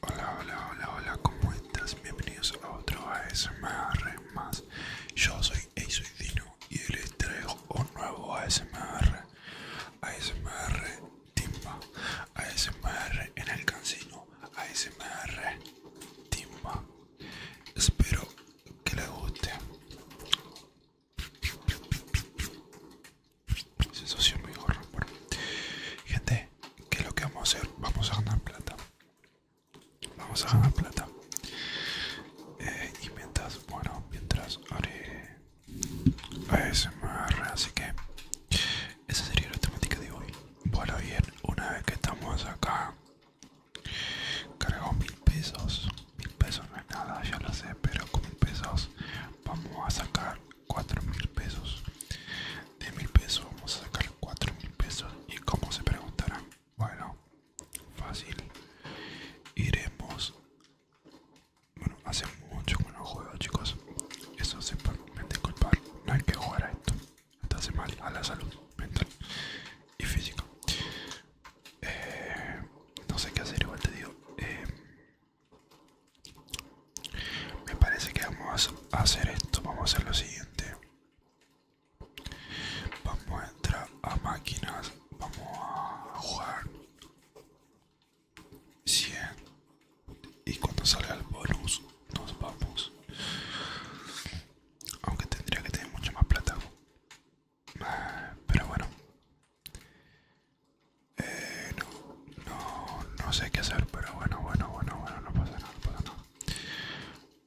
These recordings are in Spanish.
Hola, hola, hola, hola, ¿cómo estás? Bienvenidos a otro ASMR más. Yo soy Eisoy y les traigo un nuevo ASMR. ASMR Timba, ASMR en el cancino, ASMR Timba. Espero que les guste sensación muy gente que es lo que vamos a hacer vamos a ganar plata vamos a ganar plata eh, y mientras bueno mientras haré ASMR así que esa sería la temática de hoy bueno bien una vez que estamos acá Cargamos mil pesos mil pesos no es nada ya lo sé pero con mil pesos vamos a sacar 4000 mil pesos de mil pesos vamos a sacar 4000 mil pesos y como se preguntarán bueno fácil iremos bueno hace mucho que no juego chicos eso se me culpar no hay que jugar a esto esto hace mal a la salud mental y física eh, no sé qué hacer igual te digo eh, me parece que vamos a hacer esto. Vamos a hacer lo siguiente. Vamos a entrar a máquinas. Vamos a jugar 100. Y cuando sale el bonus nos vamos. Aunque tendría que tener mucho más plata. Ah, pero bueno. Eh, no, no, no sé qué hacer, pero bueno, bueno, bueno, bueno, no pasa nada, no pasa nada.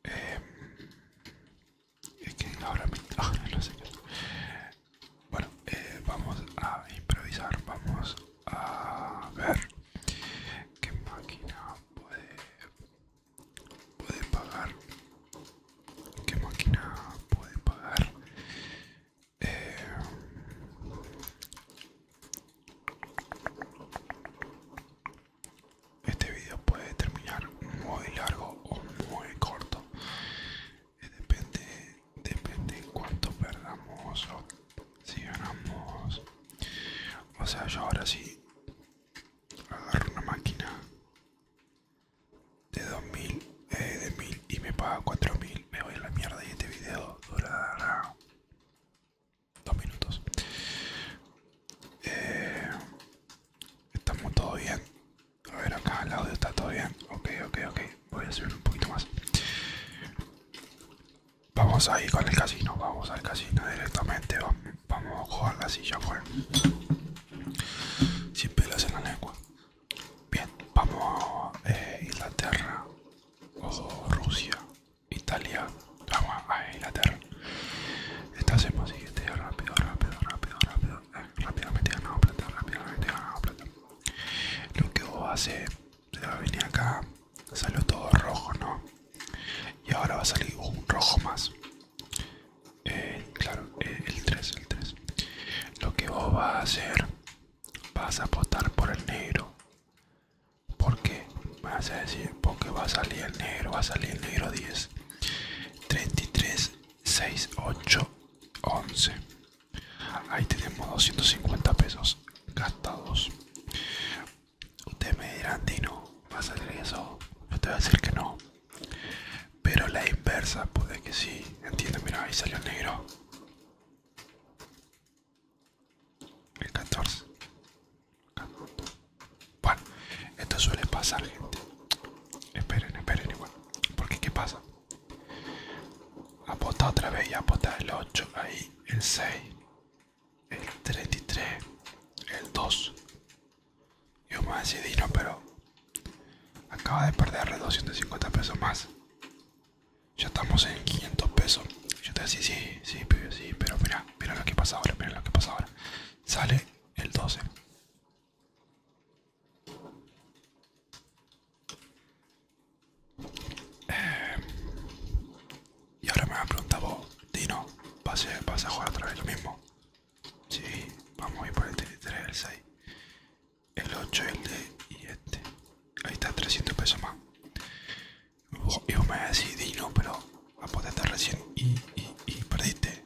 Eh, es que ahora, me, no sé qué Bueno, eh, vamos a improvisar, vamos a ver qué máquina puede, puede pagar. ¿Qué máquina puede pagar? Eh, este video puede terminar muy largo o muy corto. Eh, depende, depende, de cuánto perdamos o si ganamos. O sea, yo ahora sí agarro una máquina de 2000 eh, de 1000 y me paga 4000 me voy a la mierda y este video durará dos minutos. Eh, estamos todo bien. A ver, acá al audio está todo bien. Ok, ok, ok. Voy a subir un poquito más. Vamos ahí con el casino. Vamos al casino directamente. Vamos a jugar la silla, fuera Sin pelas en la lengua. Bien, vamos a eh, Inglaterra o Rusia Italia, vamos a Inglaterra. Esto hacemos siguiente, rápido, rápido, rápido, rápido, eh, rápidamente ganamos plata, rápidamente ganamos plata. Lo que vos a venir acá, salió todo rojo, ¿no? Y ahora va a salir un rojo más. Eh, claro, eh, el 3, el 3. Lo que vos vas a hacer, vas a apostar por el negro porque Vas a decir, porque va a salir el negro, va a salir el negro 10. 33, 6, 8, 11. Ahí tenemos 250 pesos gastados. Ustedes me dirán, Dino, ¿va a salir eso? Yo te voy a decir que no. Pero la inversa, puede que sí. entiende mira, ahí salió el negro. El 14. Bueno, esto suele pasar, gente. Esperen, esperen igual. Porque ¿qué pasa? Apota otra vez y apota el 8, ahí, el 6, el 33, el 2. Yo me decir no, pero acaba de perderle 250 pesos más. Ya estamos en 500 pesos. Yo te decía, sí, sí, sí, pero mira, mira lo que pasa ahora, mira lo que pasa ahora. Sale el 12. Eh, y ahora me va a preguntar vos, Dino, ¿vas a, jugar otra vez lo mismo? Si, vamos a ir por el 3, el 6, el 8, el D y este. Ahí está, 300 pesos más. Y vos me decís, no, pero poder recién y, y, y perdiste.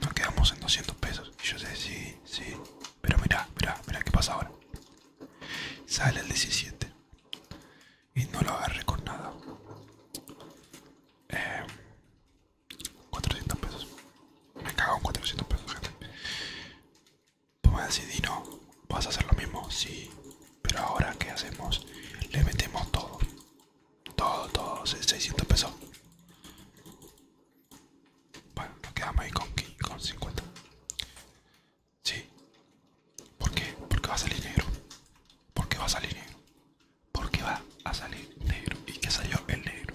Nos quedamos en 200 pesos. Y yo sé, sí, sí. Pero mira, mira, mira qué pasa ahora. Sale el 17. Y no lo agarré con nada. 400 em, pesos. Me cago en 400 pesos, gente. Tú me Dino, ¿vas a hacer lo mismo? Sí, pero ahora, ¿qué hacemos? Le metemos todo, todo, todo, 600 pesos. Bueno, nos quedamos ahí con, 50. Sí. ¿Por qué? Porque va a salir negro. Porque va a salir negro. Porque va a salir negro. ¿Y qué salió? El negro.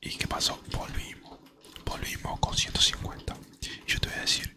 ¿Y qué pasó? Volvimos. Volvimos con 150. Yo te voy a decir,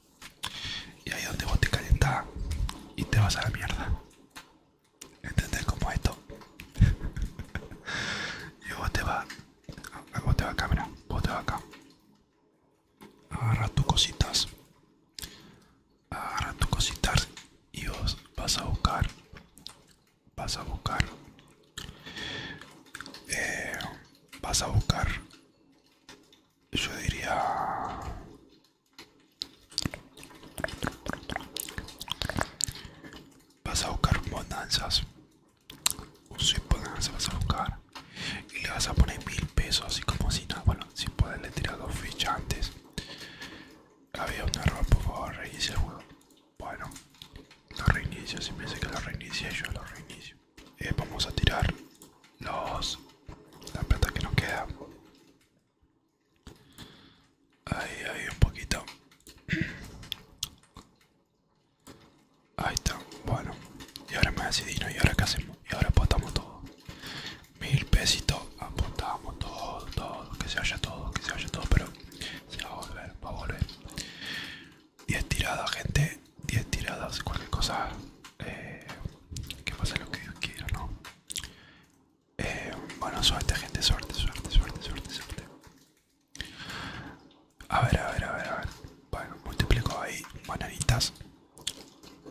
Y ahí donde vos te calentas y te vas a la mierda. ¿Entendés cómo esto? y vos te vas. Ah, vos te vas acá, mira. Vos te vas acá. Agarras tus cositas. Agarras tus cositas y vos vas a buscar. Vas a buscar. Eh, vas a buscar. Yo diría Vas a buscar bonanzas. Un sweep bonanza vas a buscar. Y le vas a poner mil pesos así como si nada. Bueno, si poderle le tirar dos fichas antes. Había un error, por favor, reinicia el juego. Bueno, lo reinicio, si me dice que lo reinicie, yo lo reinicio. Eh, vamos a tirar los la plata que nos queda ahí ahí un poquito ahí está bueno y ahora me no y ahora qué hacemos y ahora apostamos todo mil pesitos apostamos todo todo que se vaya todo que se vaya todo pero se va a volver va a volver 10 tiradas gente 10 tiradas cualquier cosa eh, que pase lo que Dios quiera no eh, bueno, suerte, gente, suerte, suerte, suerte, suerte, suerte. A ver, a ver, a ver, a ver. Bueno, multiplico ahí bananitas.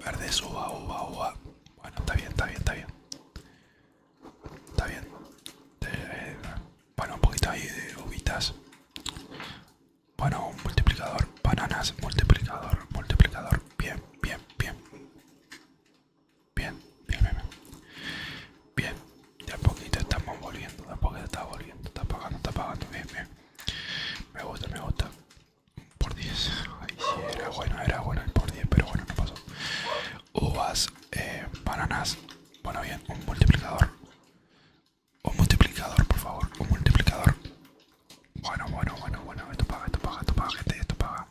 Verdes, uva, uva, uva. Bueno, está bien, está bien, está bien. Está bien. Eh, bueno, un poquito ahí de uvitas. Bueno, multiplicador. Bananas, multiplicador, multiplicador. Bien, bien. Bien. Bien, bien, bien. Bien, de a poquito estamos volviendo, de a poquito está volviendo, está apagando, está apagando, bien, bien. Me gusta, me gusta. Por 10. Ay, sí, era bueno, era bueno por 10, pero bueno, no pasó. Uvas, eh, bananas. Bueno, bien, un multiplicador. Un multiplicador, por favor, un multiplicador. Bueno, bueno, bueno, bueno, esto paga, esto paga, esto paga, gente, esto paga.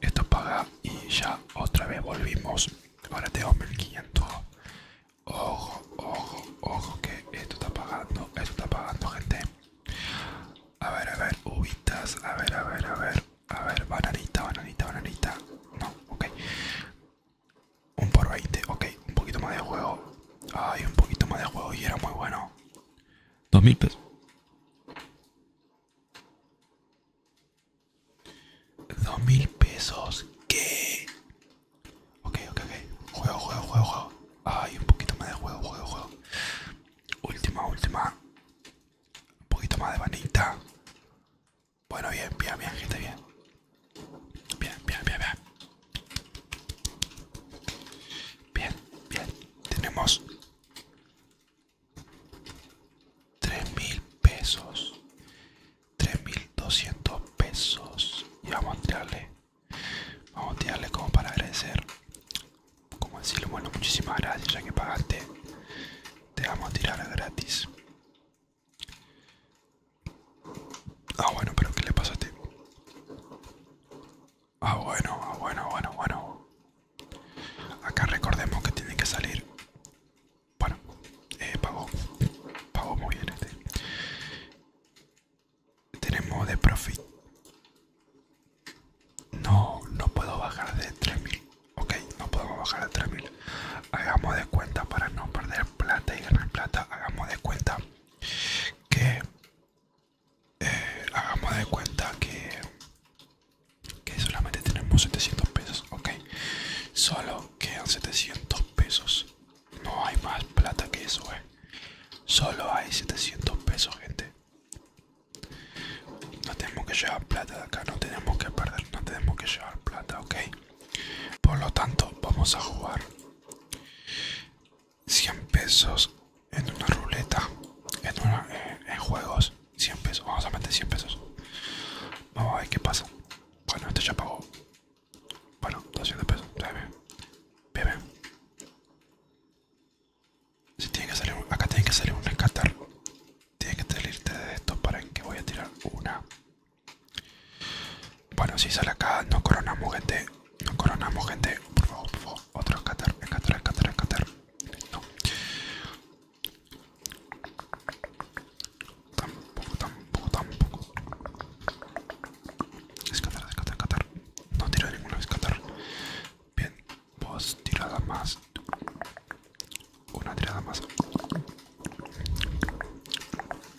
Esto paga y ya otra vez volvimos. Ahora tengo 1500. Ojo, ojo, ojo, que esto está pagando, esto está pagando, gente. A ver, a ver, uvitas, a ver, a ver, a ver, a ver, bananita, bananita, bananita. No, ok. Un por 20, ok, un poquito más de juego. Ay, un poquito más de juego y era muy bueno. Dos mil pesos. Dos mil pesos. ¿Qué? Ok, ok, ok. Juego, juego, juego, juego. Ay, un poquito más de juego, juego, juego. Última, última. Un poquito más de vanita. Bueno, bien, bien, bien, gente, bien. Bien, bien, bien, bien. Bien, bien tenemos tres mil pesos, 3200 mil pesos. Y vamos a tirarle, vamos a tirarle como para agradecer, como decirle, bueno, muchísimas gracias, ya que pagaste, te vamos a tirar gratis. Ah, bueno, pero ¿qué le pasa a ti? Ah, bueno, ah, bueno, bueno, bueno. Acá recordemos que tiene que salir. Bueno, eh, pago muy bien este. Tenemos de profit. No, no puedo bajar de 3000. Ok, no podemos bajar a 3000. Hagamos de cuenta para no perder plata y ganar plata. Hagamos de cuenta que eh, hagamos de cuenta que, que solamente tenemos 700 pesos, ok. Solo quedan 700 pesos. No hay más plata que eso, eh. Solo hay 700 pesos, gente. No tenemos que llevar plata de acá, no tenemos que perder, no tenemos que llevar plata, ok. Por lo tanto, vamos a jugar. 100 pesos en una ruleta, en, una, eh, en, juegos, 100 pesos, vamos a meter 100 pesos. Vamos a ver qué pasa. Bueno, este ya pagó. Bueno, 200 pesos, bebe. Bebe. Si tiene que salir, acá tiene que salir un rescatar. Tiene que salirte de esto para que voy a tirar una. Bueno, si sale acá, no coronamos gente. No coronamos gente, por favor, por favor. Otro escatar, escatar, escatar, escatar. No. Tampoco, tampoco, tampoco. Escatar, escatar, escatar. No tiré ninguno ninguna escatar. Bien, dos tirada más. Una tirada más.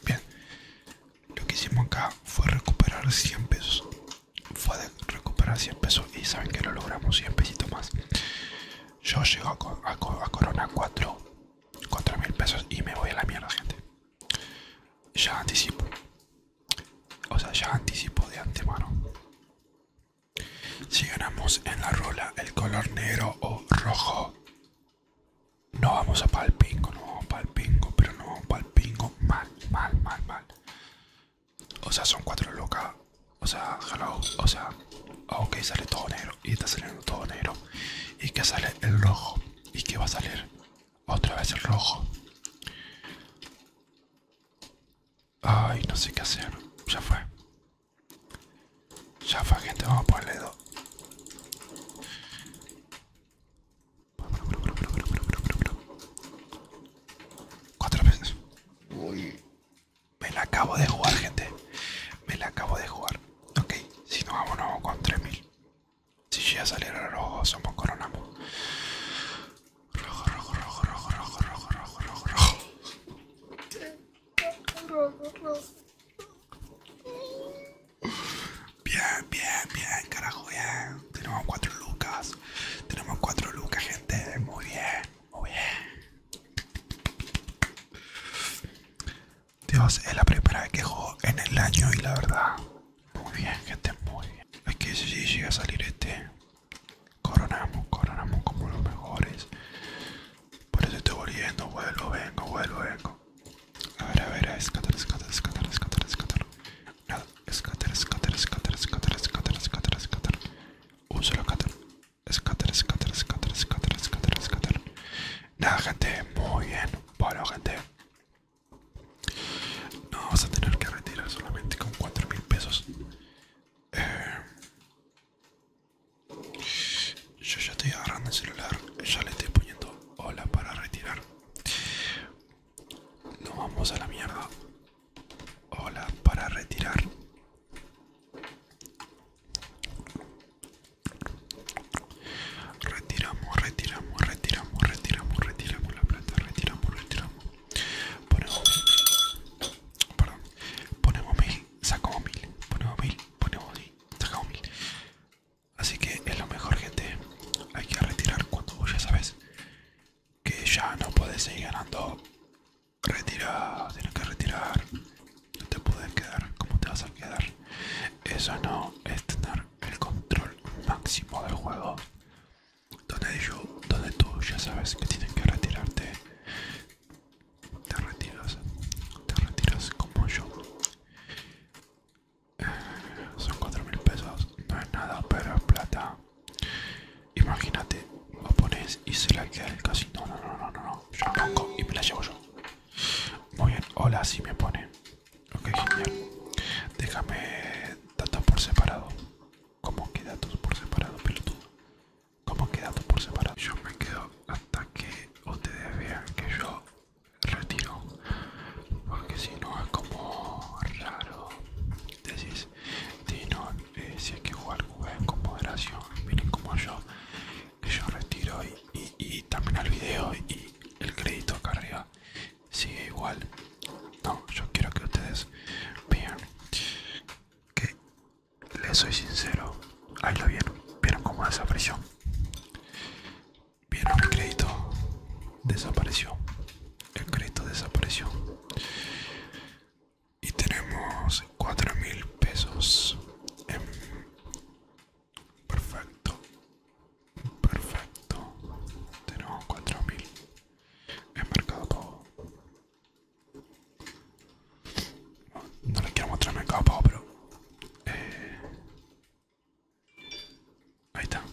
Bien, lo que hicimos acá fue recuperar 100 pesos fue de recuperar 100 pesos y saben que lo logramos 100 pesitos más yo llego a, corona 4 mil pesos y me voy a la mierda gente ya anticipo o sea ya anticipo de antemano si ganamos en la rola el color negro o rojo no vamos a palpingo, no vamos a pingo, pero no vamos a pingo mal, mal, mal, mal. O sea, son cuatro locas. O sea, hello. O sea, ah, ok, sale todo negro. Y está saliendo todo negro. Y que sale el rojo. Y que va a salir otra vez el rojo. Ay, no sé qué hacer. Ya fue. Ya fue, gente. Vamos a ponerle dos. Cuatro veces. Me la acabo de jugar, gente. Me la acabo de jugar. Ok, si no vamos vamos con 3000. Si llega a salir rojo, somos coronamos. Rojo, rojo, rojo, rojo, rojo, rojo, rojo, rojo, rojo. Bien, bien, bien, carajo, bien. Tenemos 4 lucas. Tenemos 4 lucas, gente. Muy bien, muy bien. Dios, es la primera vez que juego en el año y la verdad. Muy bien, gente, muy bien. Es que si llega a salir este, coronamos, coronamos como los mejores. Por eso estoy volviendo, vuelvo, vengo, vuelvo, vengo. A ver, a ver, a escatar, escatar, escatar, escatar, escatar escáter, escáter, escáter, escáter, escáter, escáter, escáter Un solo escáter Escáter, escáter, escáter, escáter, escáter, escáter Nada, gente, muy bien. Bueno, gente. No vamos a tener que retirar solamente con 4000 pesos. yo ya estoy agarrando el celular. Ya le estoy poniendo hola para retirar. no vamos a la mierda. Hola, para retirar. Retiramos, retiramos, retiramos, retiramos, retiramos la plata, retiramos, retiramos. Ponemos mil. Perdón. Ponemos mil, sacamos mil. Ponemos mil, ponemos mil, sacamos mil. Así que es lo mejor, gente. Hay que retirar cuando ya sabes que ya no puedes seguir ganando. retirado tienes que retirar. No te puedes quedar. ¿Cómo te vas a quedar? Eso no es tener el control máximo del juego. Donde, yo, donde tú ya sabes que tienen que retirarte. Te retiras. Te retiras como yo. Eh, son 4000 mil pesos. No es nada, pero es plata. Imagínate, lo pones y se la queda el casino. No, no, no, no, no. Yo y me la llevo yo. Muy bien, hola, si me pone. Ok, genial. Déjame datos por separado. ¿Cómo que datos por separado, pelotudo? ¿Cómo que datos por separado? Yo me quedo hasta que ustedes vean que yo retiro. Porque si no es como raro. Decís, eh, si hay que jugar, jueguen con moderación, miren como yo, que yo retiro y, y, el también video y el crédito acá arriba sigue igual. No, yo quiero que ustedes vean que les soy sincero. Ahí lo vieron, vieron cómo desapareció. Vieron el crédito, desapareció. El crédito desapareció. Y tenemos $4,000 mil pesos. Em, perfecto. Perfecto. Tenemos $4,000 mil. ¿En mercado? No les quiero mostrar mercado pago, pero... Eh, ahí está.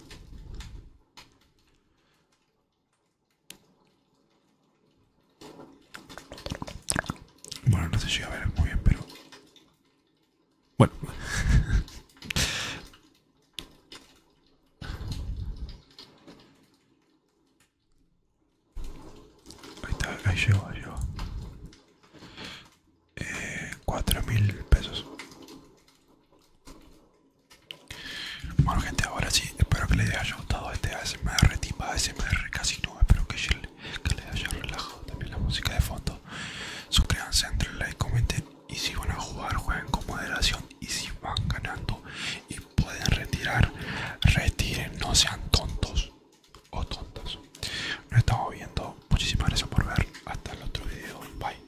Bueno, no sé si a ver muy bien, pero... Bueno. ahí está, ahí llegó, ahí eh, cuatro pesos. Bueno gente, ahora sí, espero que les haya gustado este ASMR, timba ASMR casi no, espero que, les haya relajado también la música de fondo. Suscríbanse, entre like, comenten y si van a jugar, jueguen con moderación y si van ganando y pueden retirar, retiren, no sean tontos o tontas. Nos estamos viendo, muchísimas gracias por ver, hasta el otro video, bye.